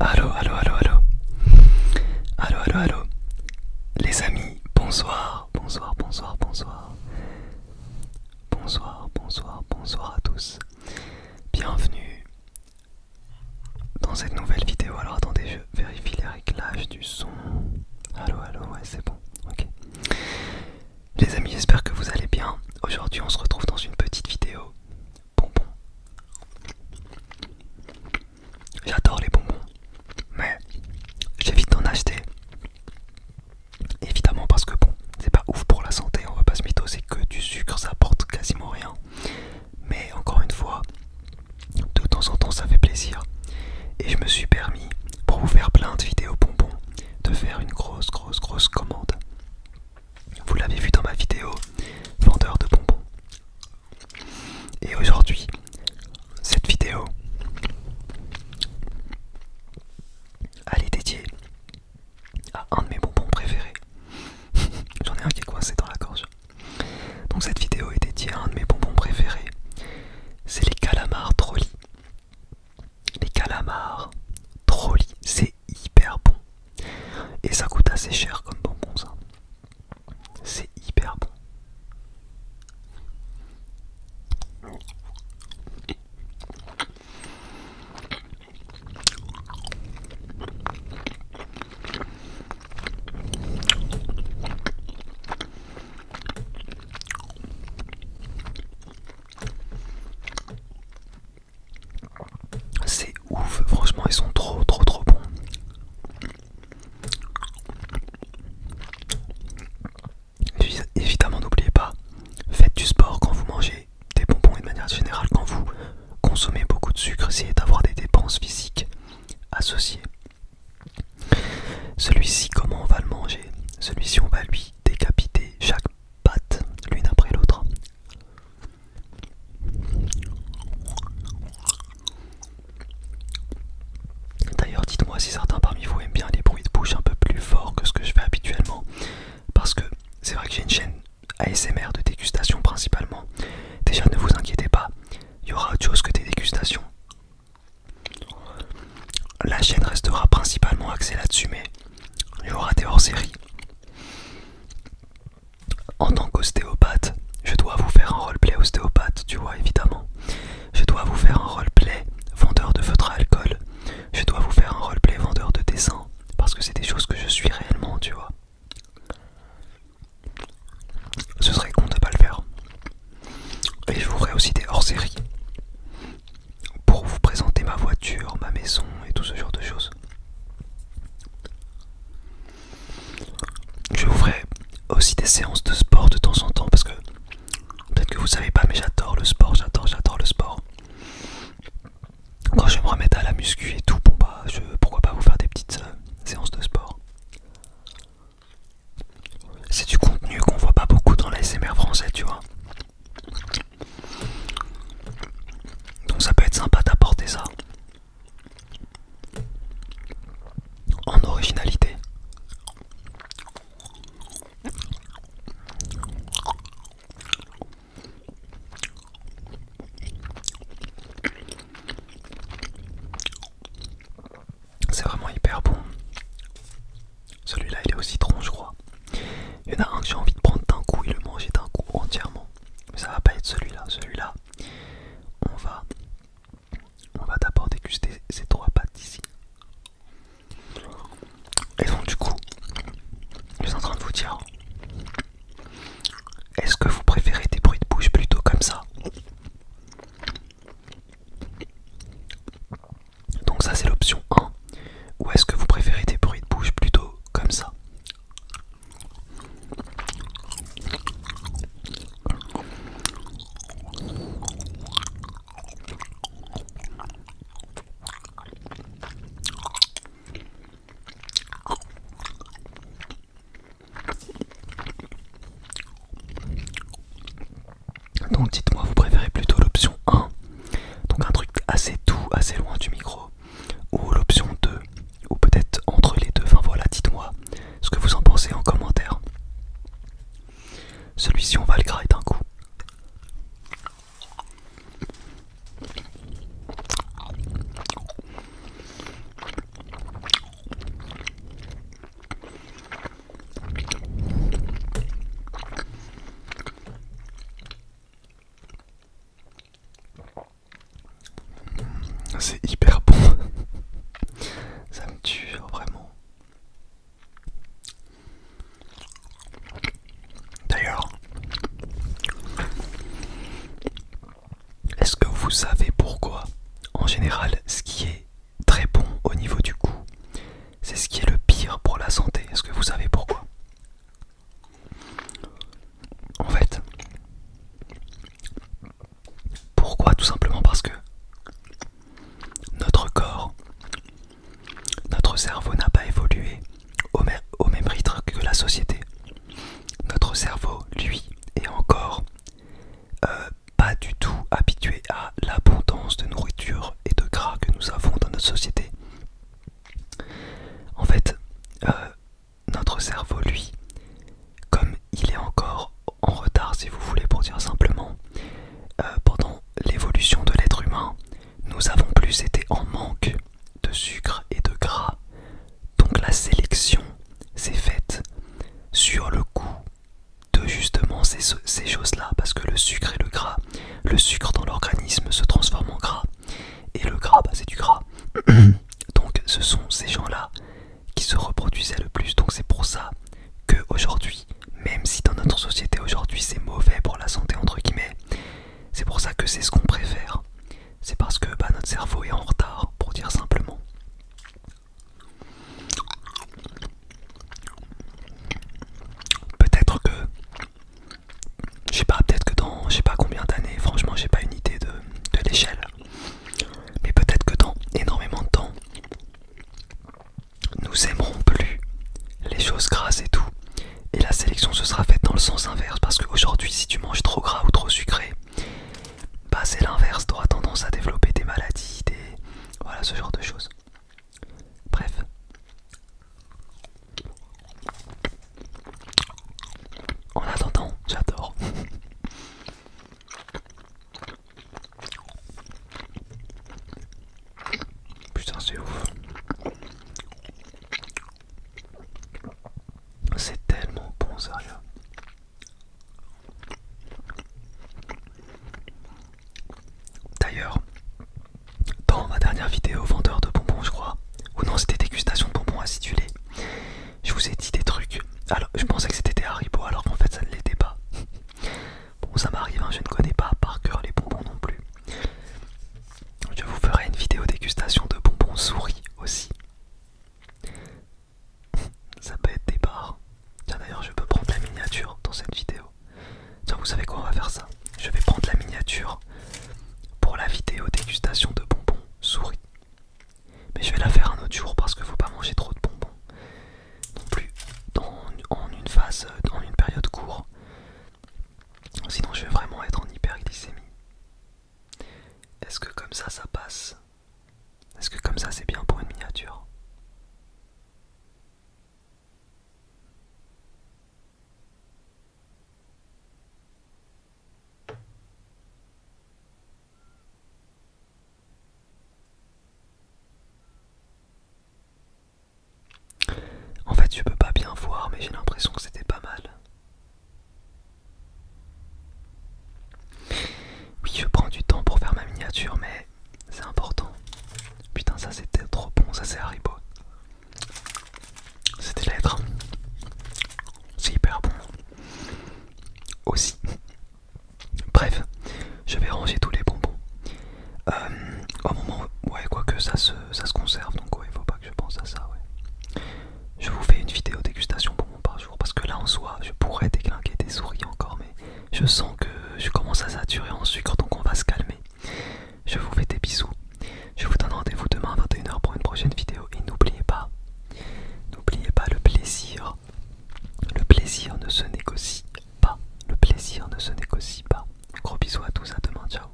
Allô, allô, allô, allô. Allô, allô, allô. Les amis, bonsoir, bonsoir, bonsoir, bonsoir. Bonsoir, bonsoir, bonsoir à tous. Bienvenue dans cette nouvelle vidéo. Alors attendez, je vérifie les réglages du son. Allô, allô, ouais, c'est bon. Ok. Les amis, j'espère que vous allez bien. Aujourd'hui, on se retrouve dans une petite vidéo bonbons. J'adore les bonbons, mais j'évite d'en acheter. Évidemment parce que bon, c'est pas ouf pour la santé, on va pas se mythoser que du sucre, ça apporte quasiment rien. Mais encore une fois, de temps en temps ça fait plaisir. Et je me suis permis, pour vous faire plein de vidéos bonbons, de faire une grosse, grosse, grosse commande. Vous l'avez vu dans ma vidéo vendeur de bonbons. Et aujourd'hui, cette vidéo, elle est dédiée à un de mes bonbons préférés. J'en ai un qui est coincé dans la gorge. Donc cette vidéo est dédiée à un de mes bonbons préférés. C'est les calamars trolli. Les calamars trolly, C'est hyper bon. Et ça coûte assez cher comme bonbon ça. C'est hyper bon. C'est ouf, franchement ils sont trop trop trop bons. évidemment n'oubliez pas, faites du sport quand vous mangez des bonbons et de manière générale quand vous consommez beaucoup de sucre, essayez d'avoir des dépenses physiques associées. Celui-ci comment on va le manger Celui-ci on va lui décapiter chaque pâte, l'une après l'autre. D'ailleurs, dites-moi si certains parmi vous aiment bien les bruits de bouche un peu plus forts que ce que je fais habituellement. Parce que c'est vrai que j'ai une chaîne ASMR de dégustation principalement. Déjà, ne vous inquiétez pas, il y aura autre chose que des dégustations. La chaîne restera principalement axée là-dessus, mais J'aurai des hors-séries. En tant qu'ostéopathe, je dois vous faire un roleplay ostéopathe, tu vois, évidemment. Je dois vous faire un roleplay vendeur de feutres à alcool. Je dois vous faire un roleplay vendeur de dessins, Parce que c'est des choses que je suis réellement, tu vois. Ce serait con de pas le faire. Et je vous aussi des hors-séries pour vous présenter ma voiture, ma maison et tout ce genre de choses. Je vous ferai aussi des séances de sport de temps en temps parce que peut-être que vous ne savez pas mais j'adore le sport, j'adore, j'adore le sport. Quand je me remettre à la muscu et tout, bon bah, je pourquoi pas vous faire des petites euh, séances de sport. C'est du contenu qu'on voit pas beaucoup dans les l'ASMR français tu vois. Donc ça peut être sympa d'apporter ça en originalité. C'est vraiment hyper bon. Celui-là, il est au citron, je crois. Il y en a un que j'ai envie de prendre d'un coup et le manger d'un coup entièrement. Mais ça va pas être celui-là. Celui-là, on va, on va d'abord déguster ces trois pattes, ici. Et donc du coup, je suis en train de vous dire, est-ce que vous préférez des bruits de bouche plutôt comme ça donc ça c'est l'option 1. Ou est-ce que vous préférez des bruits de bouche plutôt comme ça donc dites-moi, vous préférez plutôt l'option 1, donc un truc assez doux, assez loin du micro, ou l'option 2, ou peut-être entre les deux. Enfin voilà, dites-moi ce que vous en pensez en commentaire. Celui-ci, on va le gratter d'un coup. Ah, c'est hyper bon. Ça me tue vraiment. D'ailleurs, est-ce que vous savez pourquoi, en général, ce qui est très bon au niveau du goût. C'est ce qui est le pire pour la santé. Est-ce que vous savez pourquoi En fait, pourquoi Tout simplement parce que notre corps, notre cerveau n'a pas évolué au, même rythme que la société. Notre cerveau, lui, est encore euh, pas du tout habitué à l'abondance de nourriture et de gras que nous avons dans notre société. En fait, euh, notre cerveau, lui, comme il est encore en retard, si vous voulez, pour dire simplement, euh, pendant l'évolution de l'être humain, nous avons plus été en manque de sucre et de gras. Donc la sélection s'est faite sur le goût de justement ces, choses-là, parce que le sucre et le gras, le sucre dans l'organisme se transforme en gras, et le gras, bah, c'est du gras. Donc ce sont ces gens-là qui se reproduisaient le plus, donc c'est pour ça que aujourd'hui, même si dans notre société aujourd'hui c'est mauvais pour la santé entre guillemets, c'est pour ça que c'est ce qu'on préfère. C'est parce que bah, notre cerveau est en retard, pour dire simplement. Peut-être que, je sais pas, peut-être que dans, je sais pas combien d'années, franchement, j'ai pas une idée de, de l'échelle, mais peut-être que dans énormément de temps, nous aimerons plus les choses grasses et tout, et la sélection se sera faite dans le sens inverse parce qu'aujourd'hui, si tu manges trop gras ou trop sucré, bah c'est l'inverse, t'auras tendance à développer des maladies, des... voilà ce genre de choses. Bref. En attendant, j'adore. Putain, c'est ouf. C'est tellement bon, sérieux. D'ailleurs, dans ma dernière vidéo vendeur de bonbons, je crois, ou non, c'était dégustation de bonbons acidulés, je vous ai dit des trucs. Alors, je pensais que c'était des Haribo, alors qu'en fait, ça ne l'était pas. Bon, ça m'arrive, hein, je ne connais pas par cœur les bonbons non plus. Je vous ferai une vidéo dégustation de bonbons souris aussi ça peut être des barres. Tiens d'ailleurs je peux prendre la miniature dans cette vidéo. Tiens vous savez quoi on va faire ça. Je vais prendre la miniature pour la vidéo dégustation de bonbons souris. Mais je vais la faire un autre jour parce que faut pas manger trop de bonbons. Non plus en une phase, dans une période courte. Sinon je vais vraiment être en hyperglycémie. Est-ce que comme ça, ça passe Est-ce que comme ça, c'est bien pour une miniature En fait, je peux pas bien voir, mais j'ai l'impression que c'était pas mal. Oui, je prends du temps pour faire ma miniature, mais c'est important. Putain, ça c'était trop bon, ça c'est Haribo. C'était l'être. C'est hyper bon. Aussi. Bref, je vais ranger tous les bonbons. Euh, au moment, ouais, quoique ça se, ça se conserve, donc il faut pas que je pense à ça, je vous fais une vidéo dégustation pour mon par jour parce que là en soi je pourrais déglinguer des souris encore mais je sens que je commence à saturer en sucre donc on va se calmer. Je vous fais des bisous. Je vous donne rendez-vous demain à 21h pour une prochaine vidéo et n'oubliez pas, n'oubliez pas le plaisir. Le plaisir ne se négocie pas. Le plaisir ne se négocie pas. Gros bisous à tous, à demain, ciao.